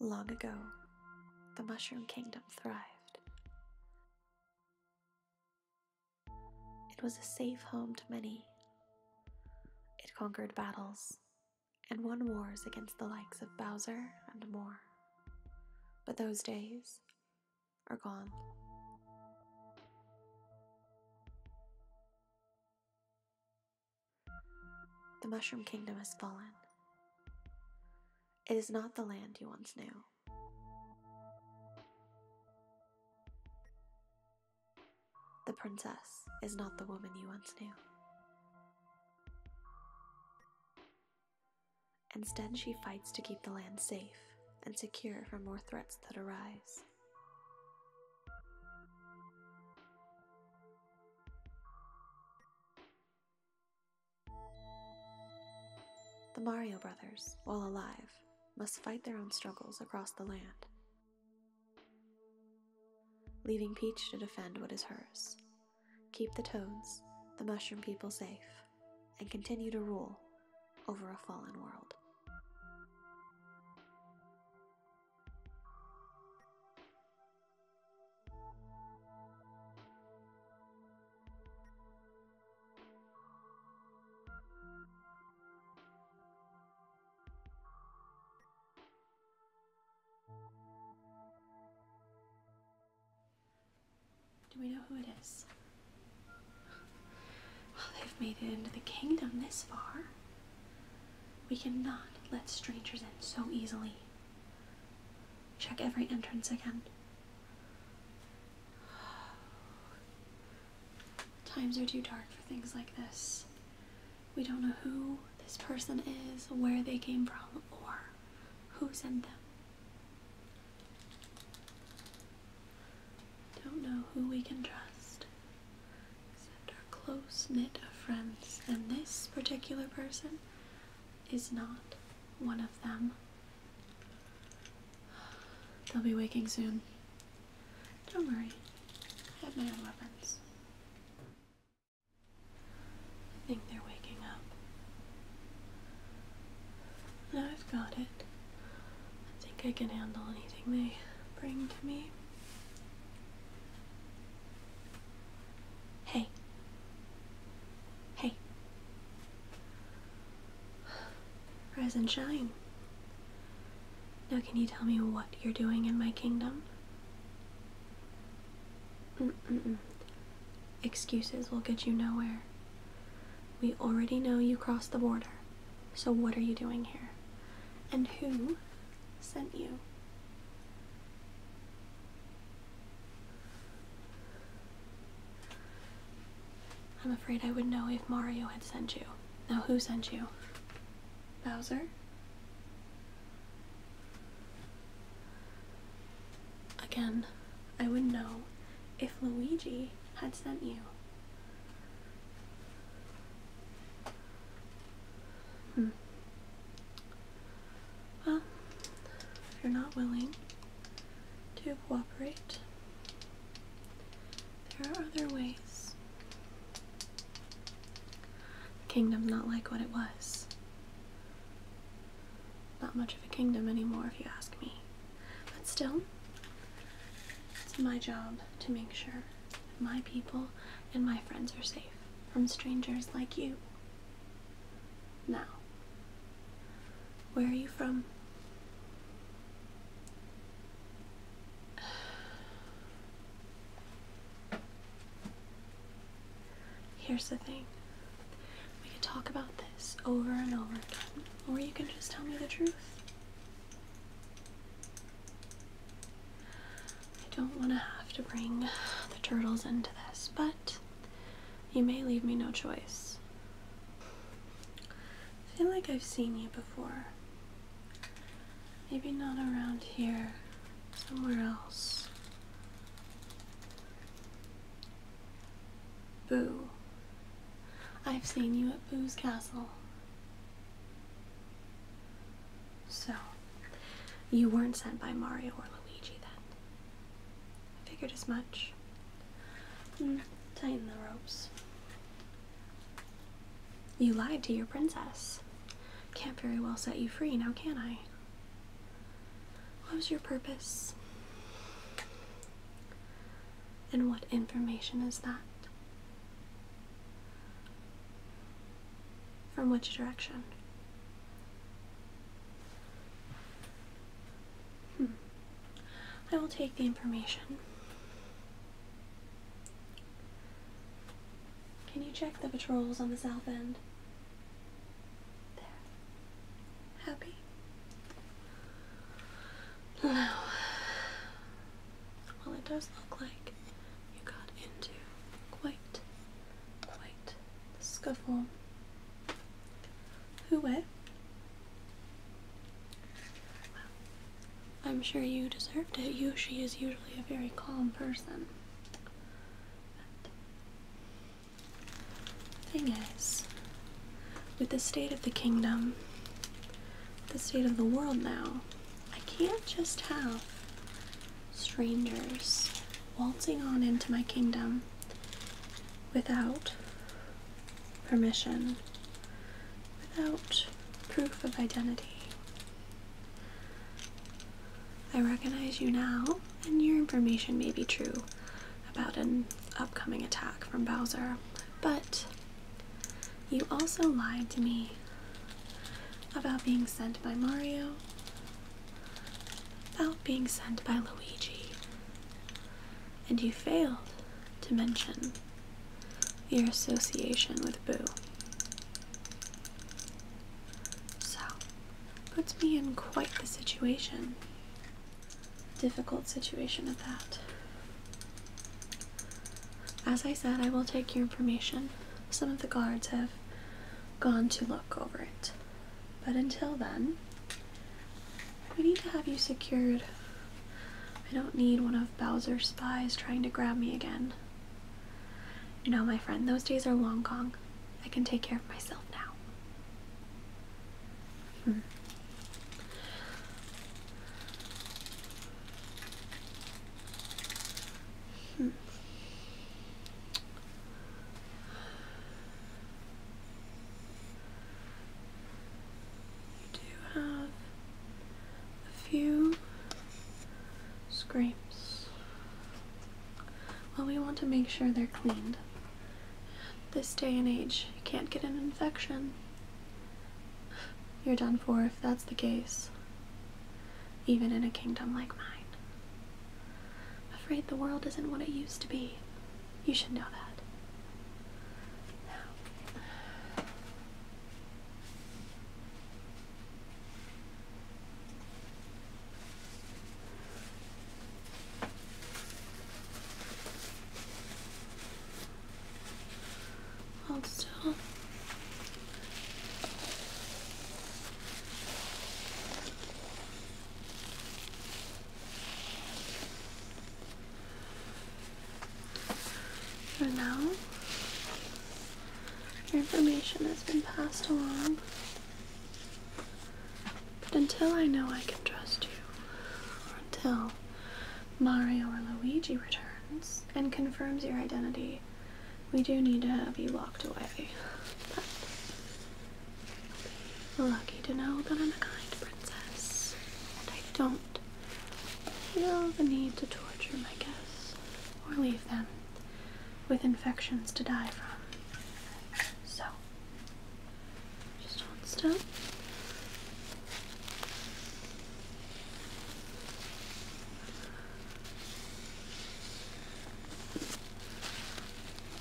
Long ago, the Mushroom Kingdom thrived. It was a safe home to many. It conquered battles and won wars against the likes of Bowser and more. But those days are gone. The Mushroom Kingdom has fallen. It is not the land you once knew. The princess is not the woman you once knew. Instead, she fights to keep the land safe and secure from more threats that arise. The Mario brothers, while alive, must fight their own struggles across the land, leaving Peach to defend what is hers, keep the toads, the mushroom people safe, and continue to rule over a fallen world. Do we know who it is? they've made it into the kingdom this far. We cannot let strangers in so easily. Check every entrance again. Times are too dark for things like this. We don't know who this person is, where they came from, or who sent them. Don't know who we can trust except our close knit of friends. And this particular person is not one of them. They'll be waking soon. Don't worry, I have my weapons. I think they're waking up. Now I've got it. I think I can handle anything they bring to me. Hey. Hey. Rise and shine. Now, can you tell me what you're doing in my kingdom? Excuses will get you nowhere. We already know you crossed the border, so what are you doing here? And who sent you? I'm afraid I would know if Mario had sent you. Now, who sent you? Bowser? Again, I would know if Luigi had sent you. Hmm. Well, if you're not willing, to cooperate. There are other ways. The kingdom's not like what it was. Not much of a kingdom anymore, if you ask me. But still, it's my job to make sure my people and my friends are safe from strangers like you. Now, where are you from? Here's the thing. We can talk about this over and over again, or you can just tell me the truth. I don't want to have to bring the turtles into this, but you may leave me no choice. I feel like I've seen you before. Maybe not around here, somewhere else. Boo. I've seen you at Boo's Castle. So, you weren't sent by Mario or Luigi then. Figured as much. Hmm, tighten the ropes. You lied to your princess. Can't very well set you free now, can I? What was your purpose? And what information is that? From which direction? Hmm. I will take the information. Can you check the patrols on the south end? There. Happy? No. Well, it does look like you got into quite, quite scuffle. Who what? I'm sure you deserved it. Yoshi is usually a very calm person. thing is, with the state of the kingdom, the state of the world now, I can't just have strangers waltzing on into my kingdom without permission, without proof of identity. I recognize you now, and your information may be true about an upcoming attack from Bowser, but you also lied to me about being sent by Mario about being sent by Luigi, and you failed to mention your association with Boo. So, puts me in quite the situation. Difficult situation at that. As I said, I will take your information. Some of the guards have gone to look over it. But until then, we need to have you secured. I don't need one of Bowser's spies trying to grab me again. You know, my friend, those days are long gone. I can take care of myself now. Hmm. Hmm. You do have a few scrapes. Well, we want to make sure they're cleaned. This day and age, you can't get an infection. You're done for if that's the case, even in a kingdom like mine. I'm afraid the world isn't what it used to be. You should know that. Now. Hold still. For now, your information has been passed along. But until I know I can trust you, or until Mario or Luigi returns and confirms your identity, we do need to have you locked away lucky to know that I'm a kind princess, and I don't feel the need to torture my guests or leave them with infections to die from. So, just one still.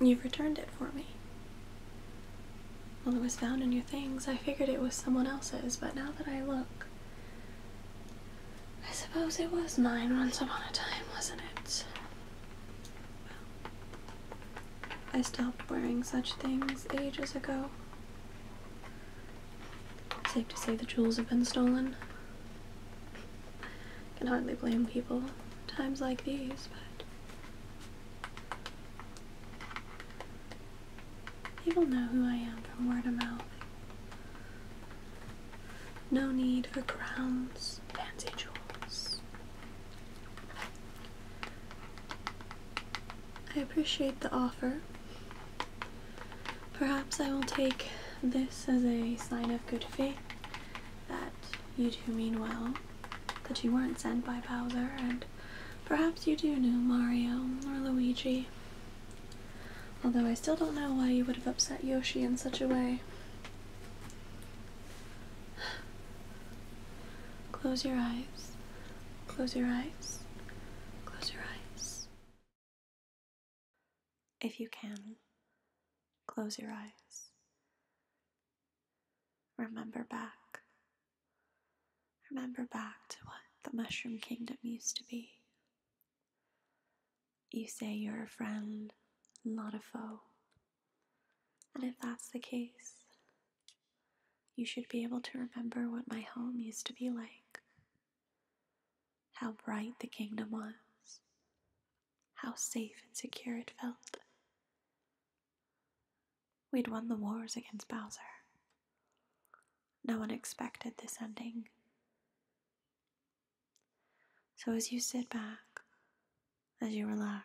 You've returned it for me. Well, it was found in your things. I figured it was someone else's, but now that I look, I suppose it was mine once upon a time, wasn't it? I stopped wearing such things ages ago. Safe to say the jewels have been stolen. Can hardly blame people times like these, but People know who I am from word of mouth. No need for crowns, fancy jewels. I appreciate the offer. Perhaps I will take this as a sign of good faith that you do mean well, that you weren't sent by Bowser, and perhaps you do know Mario or Luigi Although I still don't know why you would have upset Yoshi in such a way. Close your eyes. Close your eyes. Close your eyes. If you can, close your eyes. Remember back remember back to what the Mushroom Kingdom used to be. You say you're a friend, not a foe. And if that's the case, you should be able to remember what my home used to be like. How bright the kingdom was. How safe and secure it felt. We'd won the wars against Bowser. No one expected this ending. So, as you sit back, as you relax,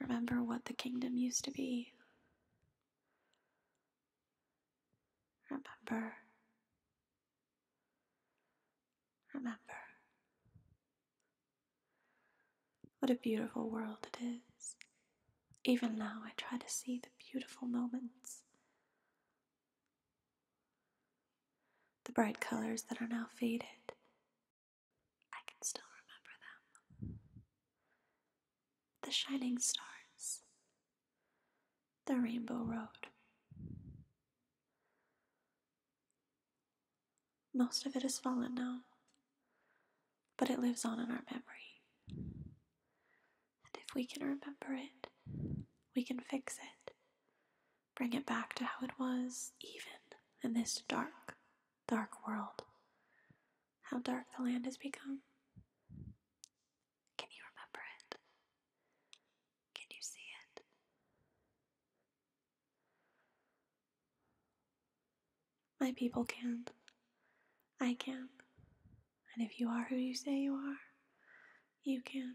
remember what the kingdom used to be. Remember. Remember. What a beautiful world it is. Even now, I try to see the beautiful moments, the bright colors that are now faded. I can still remember them. The shining stars, the rainbow road. Most of it has fallen now, but it lives on in our memory. And if we can remember it, we can fix it. Bring it back to how it was, even in this dark, dark world. How dark the land has become. Can you remember it? Can you see it? My people can. I can. And if you are who you say you are, you can.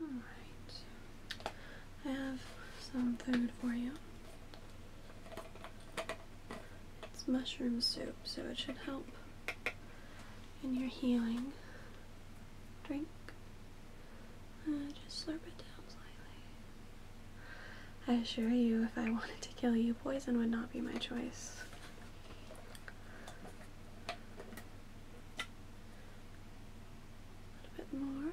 Alright, I have some food for you. It's mushroom soup, so it should help in your healing. Drink. Uh, just slurp it down slightly. I assure you, if I wanted to kill you, poison would not be my choice. A bit more.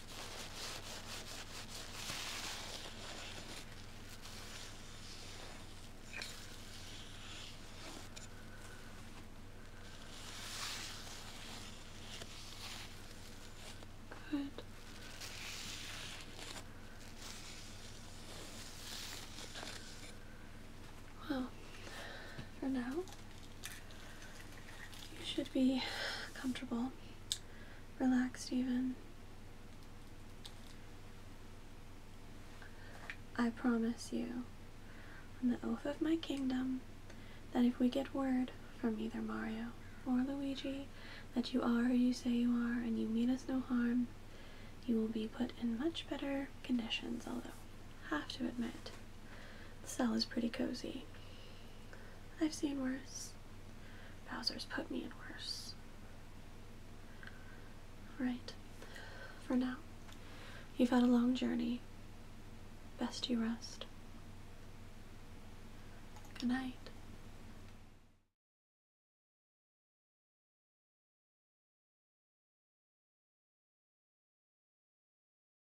Good. Well, for now, you should be comfortable relaxed even. I promise you, on the oath of my kingdom, that if we get word from either Mario or Luigi that you are who you say you are and you mean us no harm, you will be put in much better conditions, although, have to admit, the cell is pretty cozy. I've seen worse worse. Bowser's put me in worse. Right, for now, you've had a long journey. Best you rest. Good night.